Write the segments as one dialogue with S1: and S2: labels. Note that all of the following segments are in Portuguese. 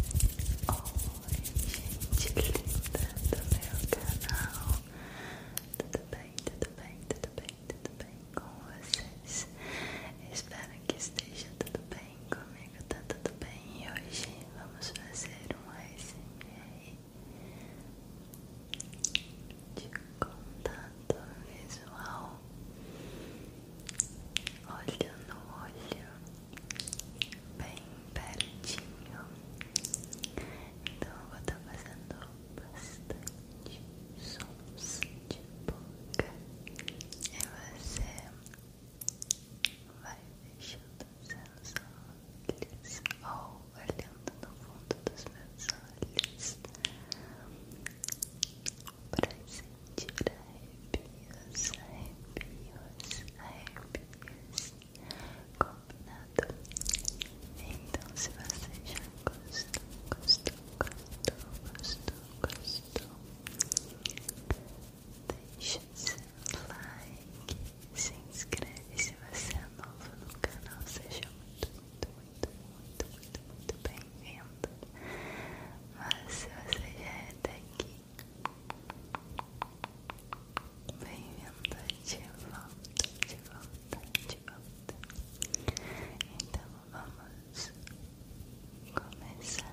S1: Oi, gente linda do meu canal. Tudo bem, tudo bem, tudo bem, tudo bem com vocês? Espero que esteja tudo bem comigo, tá tudo bem? E hoje vamos fazer um ASMR de contato visual. Olho no olho bem pertinho. Então eu vou estar tá fazendo bastante sons de boca e você vai fechando seus olhos ou olhando no fundo dos meus olhos. Pra se sentir arrepios, arrepios, arrepios. Combinado? Então, se você já gostou, gostou, gostou, gostou, gostou, deixe seu like, se inscreve se você é novo no canal, seja muito, muito, muito, muito, muito, muito bem-vindo. Mas se você já é daqui, Bem-vindo de volta, de volta, de volta. Então vamos começar.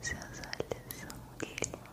S1: Seus olhos são lindos.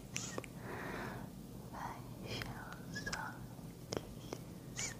S2: practice, I shall softly you do to me?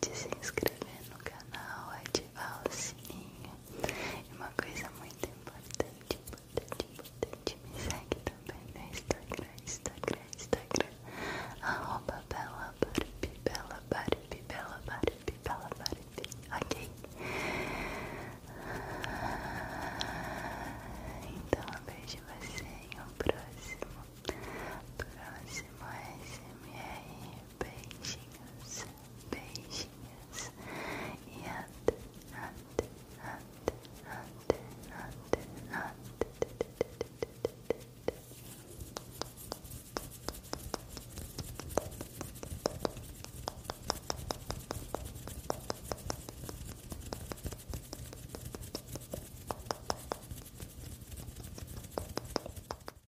S1: de se inscrever no canal, ativar o sininho. E uma coisa muito importante, importante, importante, me segue também no Instagram, Instagram, Instagram, arroba Bela Barbie, Bela Barbie, Bela Barbie, Bela Barbie, ok? Então eu vejo você em um próximo, próximo SMR, beijinhos. patience and and
S3: and and and and